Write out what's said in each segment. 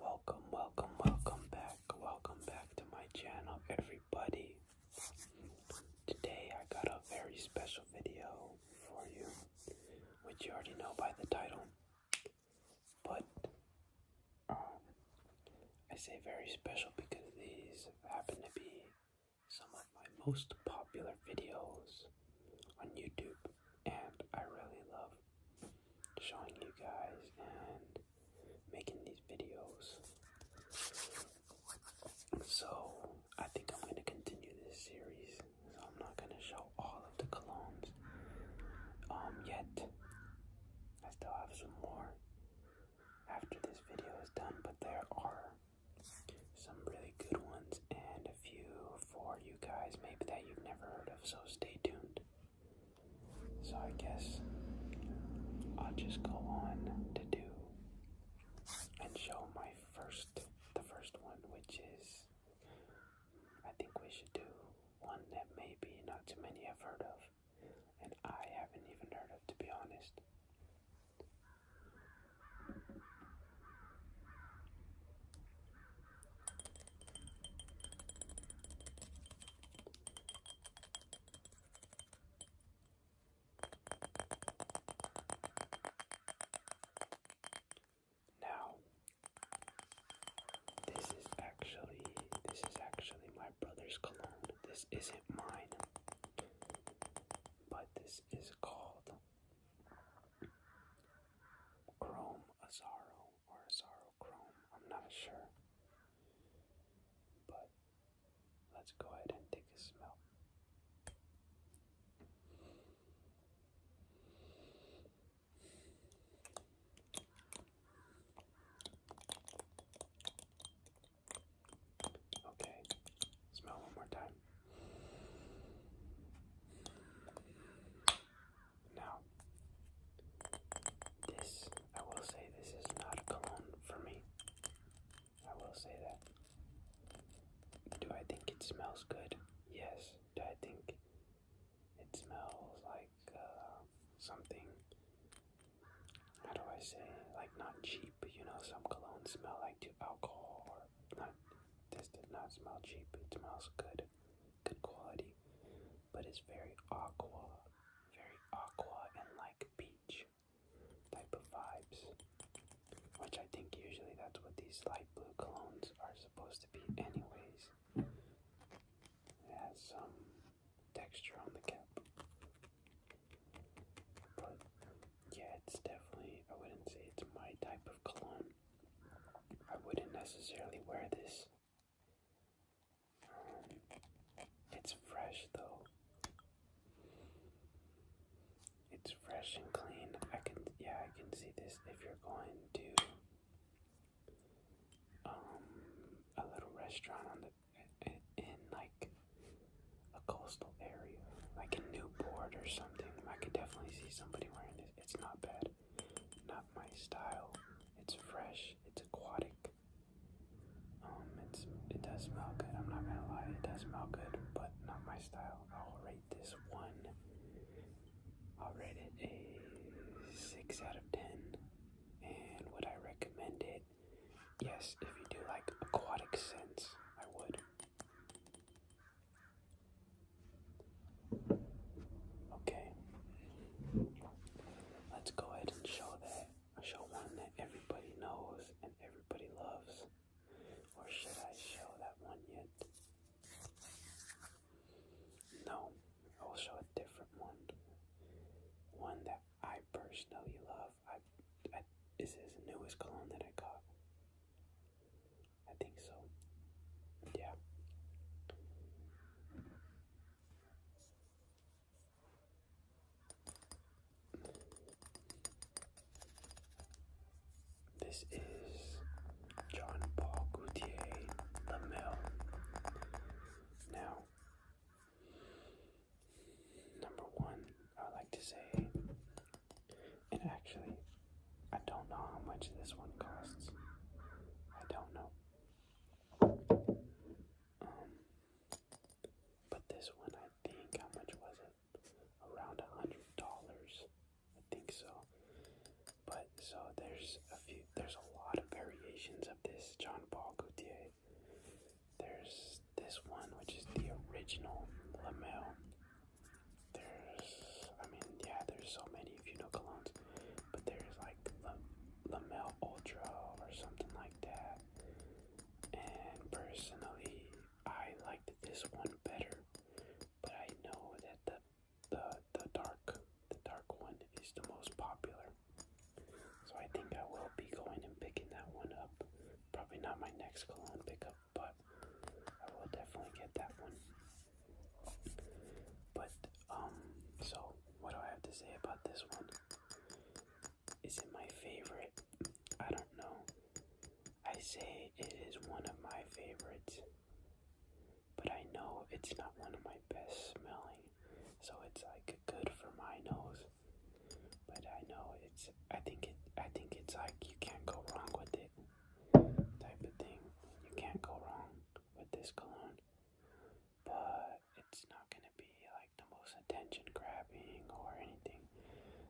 Welcome, welcome, welcome back. Welcome back to my channel, everybody. Today I got a very special video for you, which you already know by the title. But um, I say very special because these happen to be some of my most popular videos on YouTube and I really love showing you guys and making these videos. So I think I'm gonna continue this series. So I'm not gonna show all of the colognes um yet. I still have some more after this video is done, but there are some really good ones and a few for you guys maybe that you've never heard of, so stay tuned. So I guess I'll just go on to do and show my first the first one which is I think we should do one that maybe not too many have heard of and I haven't even heard of to be honest. Now, this is actually this is actually my brother's cologne. This isn't mine, but this is called Chrome Azaro or Azaro Chrome, I'm not sure. But let's go ahead and take a smell. Okay, smell one more time. Now, this, I will say, this is not a cologne for me. I will say that. Do I think it smells good? Yes. Do I think it smells like uh, something? How do I say? Like not cheap. You know, some colognes smell like to alcohol no, this did not smell cheap. It smells good, good quality, but it's very aqua, very aqua and like peach type of vibes. Which I think usually that's what these light blue colognes are supposed to be, anyways. It has some texture on the cap. But yeah, it's definitely, I wouldn't say it's my type of cologne, I wouldn't necessarily wear this. Um, it's fresh though. It's fresh and clean. I can, yeah, I can see this if you're going to um, a little restaurant on the in, like a coastal area, like in Newport or something. I could definitely see somebody wearing this. It's not bad not my style. It's fresh, it's aquatic. Um, it's it does smell good. I'm not gonna lie, it does smell good, but not my style. I'll rate this one. I'll rate it a six out of ten. And would I recommend it? Yes, if you do like aquatic scents, I would. Okay. Let's go ahead and show that. Show one that everybody knows and everybody loves. Or should I show that one yet? No, I will show a different one. One that I personally love. I, this is the newest clone that I got. I think so. Yeah. This is John Paul Gaultier LaMille. Now, number one, I like to say and actually, I don't know how much this one costs. I don't know. Um, but this one, I think, how much was it? Around a hundred dollars, I think so. But so there's a few, there's a lot of variations of this John Paul Gaultier. There's this one, which is the original Lamel there's, I mean, yeah, there's so many if you know colognes, but there's like La Lamel Ultra or something like that. And personally, I liked this one better, but I know that the the the dark the dark one is the most popular. So I think I will be going and picking that one up. Probably not my next cologne pickup, but I will definitely get that one. But um, so what do I have to say about this one? Is it my favorite? I don't know. I say it is one of my favorites, but I know it's not one of my best smelling, so it's like good for my nose. But I know it's. I think it. I think it's like you can't go wrong with it type of thing. You can't go wrong with this cologne, but it's not going to be like the most attention grabbing or anything.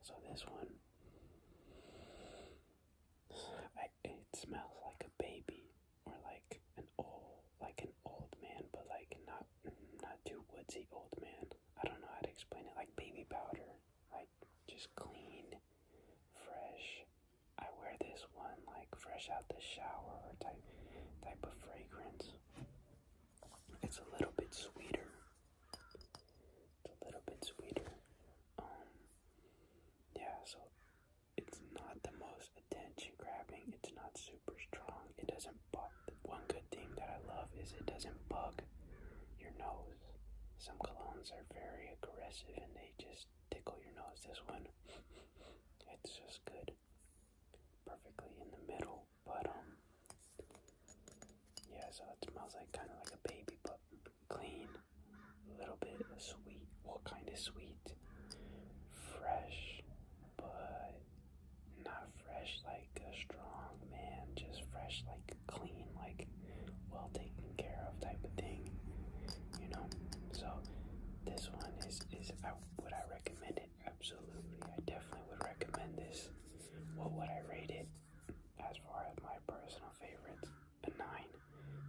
So, this one, it smells like a baby or like an old, like an old man, but like not, not too woodsy old man. I don't know how to explain it, like baby powder. I just clean, fresh. I wear this one like fresh out the shower type type of fragrance. It's a little bit sweeter. It's a little bit sweeter. Um yeah, so it's not the most attention grabbing. It's not super strong. It doesn't bug. One good thing that I love is it doesn't bug your nose. Some colognes are very aggressive and they just tickle your nose. This one, it's just good. Perfectly in the middle, but um, yeah. So it smells like kind of like a baby, but clean, a little bit sweet. Well, kind of sweet, fresh, but not fresh like a strong man. Just fresh, like clean, like like well taken care of type of thing, you know. So this one is is I, would I recommend it? Absolutely, I definitely would recommend this. What would I rate it? As far as my personal favorites, a nine.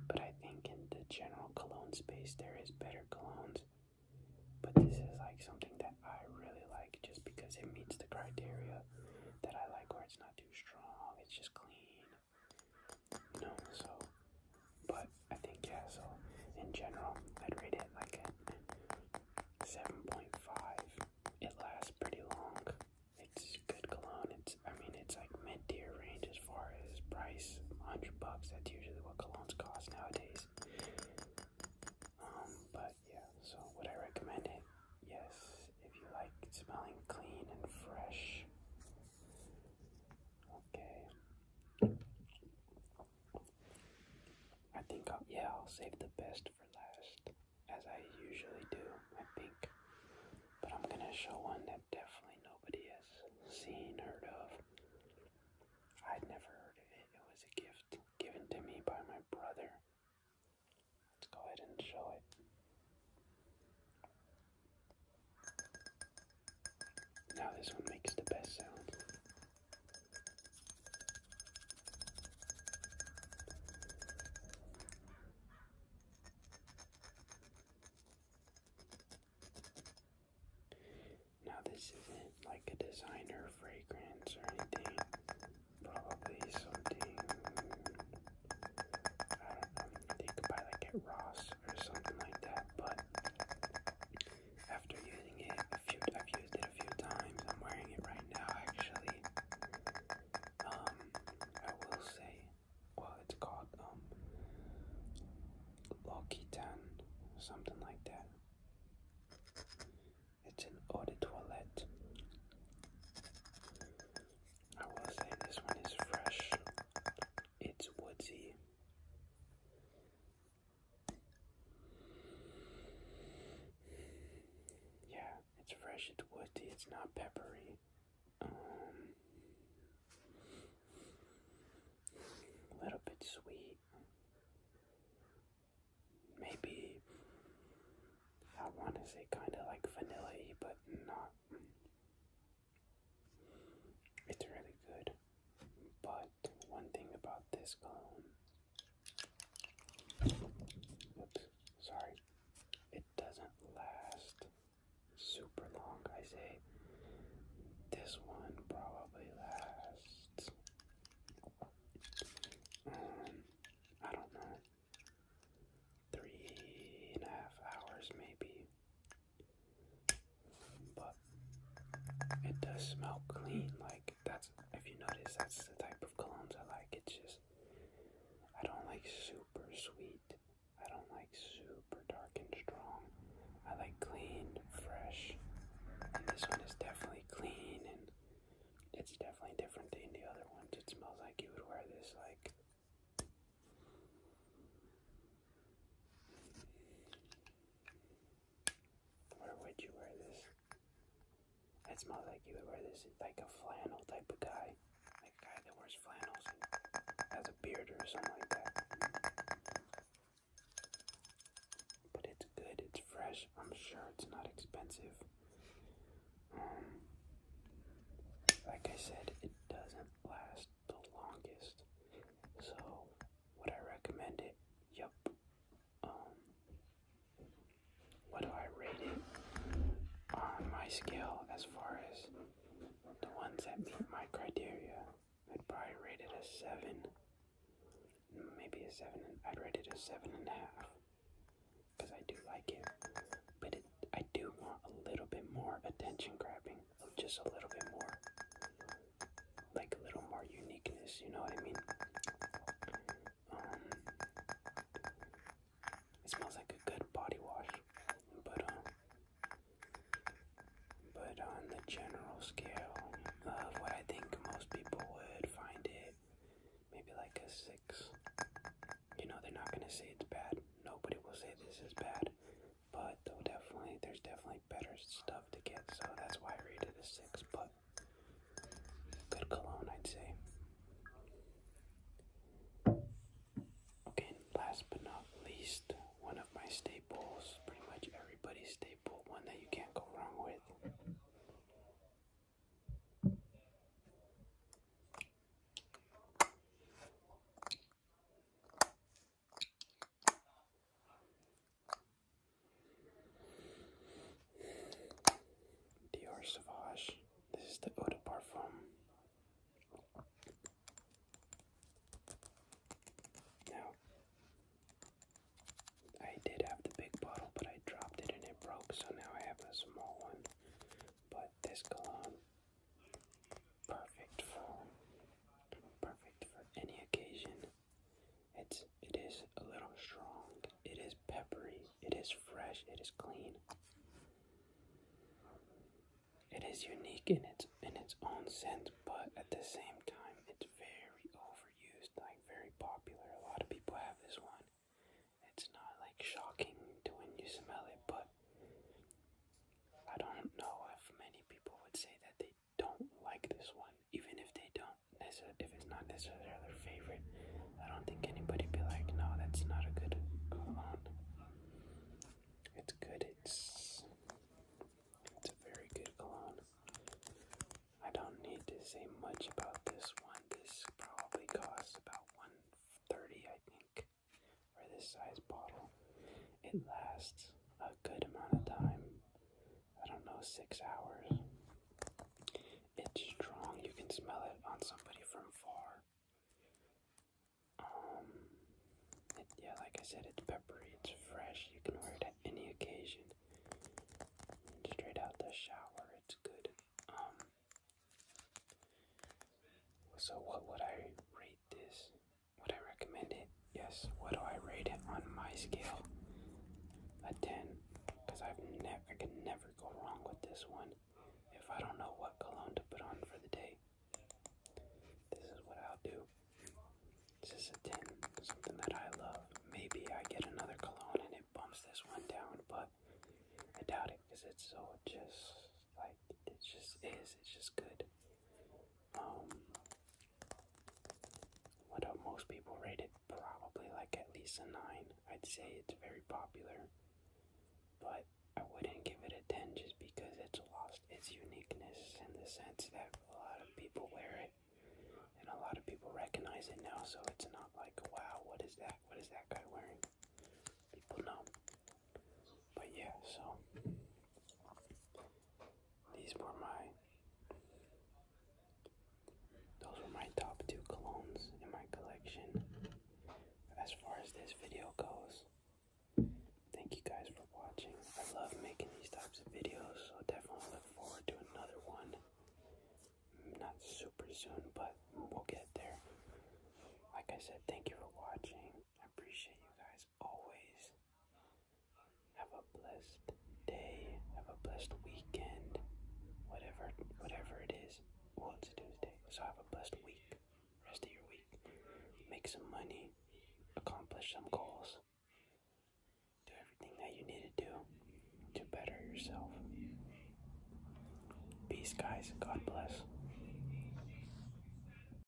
But I think in the general cologne space, there is better colognes. But this is like something that I really like just because it meets the criteria that I like, where it's not too strong, it's just clean, no, so, but I think, yeah, so in general, I'd rate it like a 7.5. It lasts pretty long. It's good cologne. It's, I mean, it's like mid tier range as far as price 100 bucks. That's usually what colognes cost nowadays. Um, but yeah, so would I recommend it? Yes, if you like smelling clean and fresh Okay. I think, I'll, yeah, I'll save the best for last, as I usually do, I think. But I'm gonna show one that definitely nobody has seen, heard of. I'd never heard of it. It was a gift given to me by my brother. Let's go ahead and show it. Now this one makes the best sound. Now this isn't like a designer fragrance or anything. Probably something you could buy like at Ross or something like that, but after using it a few, I've used it a few times, I'm wearing it right now actually, um, I will say, well it's called, um, L'Occitane, something like that. It's an eau de I will say this one is fresh it's woodsy. Yeah, it's fresh, it's woody, it's not peppery. Um, a little bit sweet. Maybe I want to say kind of like vanilla but not it's really good. But one thing about this cologne, sorry, it doesn't last super long. I say this one probably lasts. Um, I don't know. Three and a half hours, maybe. But it does smell clean. Like that's if you notice, that's the type of colognes I like. It's just I don't like super sweet. I don't like super dark and strong. I like clean, fresh. And this one is definitely clean and it's definitely different than the other ones. It smells like you would wear this like where would you wear this? That smells like you would wear this like a flannel type of guy. Like a guy that wears flannels has a beard or something like that. But it's good, it's fresh. I'm sure it's not expensive. Um, like I said, it doesn't last the longest. So, would I recommend it? Yup. Um, what do I rate it on my scale as far as the ones that meet my criteria? I'd probably rate it a 7. Maybe a 7. I'd rate it a 7.5. Because I do like it. But it, I do want a little bit more attention grabbing just a little bit more, like a little more uniqueness, you know what I mean? Um, it smells like a good body wash, but um, but on the general scale of what I think most people would find it, maybe like a six. You know, they're not gonna say it's bad. Nobody will say this is bad but though definitely there's definitely better stuff to get, so that's why I rated a six. But good cologne, I'd say. Okay, last but not least, one of my staples, pretty much everybody's staple, one that you can't go wrong with. Dior Sauvage. This is the Eau de Parfum. Now, I did have the big bottle, but I dropped it and it broke, so now I have a small one. But this cologne perfect for perfect for any occasion. It's it is a little strong. It is peppery. It is fresh. It is clean. It is unique in its in its own sense, but at the same time, it's very overused, like very popular. A lot of people have this one. It's not like shocking to when you smell it, but I don't know if many people would say that they don't like this one, even if they don't if it's not necessarily their favorite. I don't think anybody be like, no, that's not a good cologne. It's good. It's it's a very good cologne. I don't need to say much about this one. This probably costs about one thirty, I think for this size bottle. It lasts a good amount of time. I don't know, six hours. It's strong. You can smell it on somebody from far. Um, yeah, like I said, it's peppery, it's fresh. You can wear it at any occasion. Straight out the shower, it's good. Um, so what would I rate this? Would I recommend it? Yes. What do I rate it on my scale? A 10. Because I've never, I can never go wrong with this one if I don't know what cologne to put on for the day. This is what I'll do. This is a 10, something that I love. Maybe I get another cologne and it bumps this one down, but I doubt it because it's so just like it just is. It's just good. Um, what Most people rate it probably like at least a nine. I'd say it's very popular, but I wouldn't give it a ten just because it's lost its uniqueness in the sense that a lot of people wear it and a lot of people recognize it now. So it's not like wow, what is that? What is that guy wearing? People know. But yeah, so these were my those were my top two colognes in my collection. As far as this video goes, thank you guys for watching. I love making these types of videos, so definitely look forward to another one. Not super soon, but we'll get there. Like I said, thank you for watching. I appreciate you guys always. Have a blessed day. Have a blessed weekend. Whatever whatever it is. Well it's Tuesday. So have a blessed week. Rest of your week. Make some money. Accomplish some goals. Do everything that you need to do to better yourself. Peace, guys. God bless.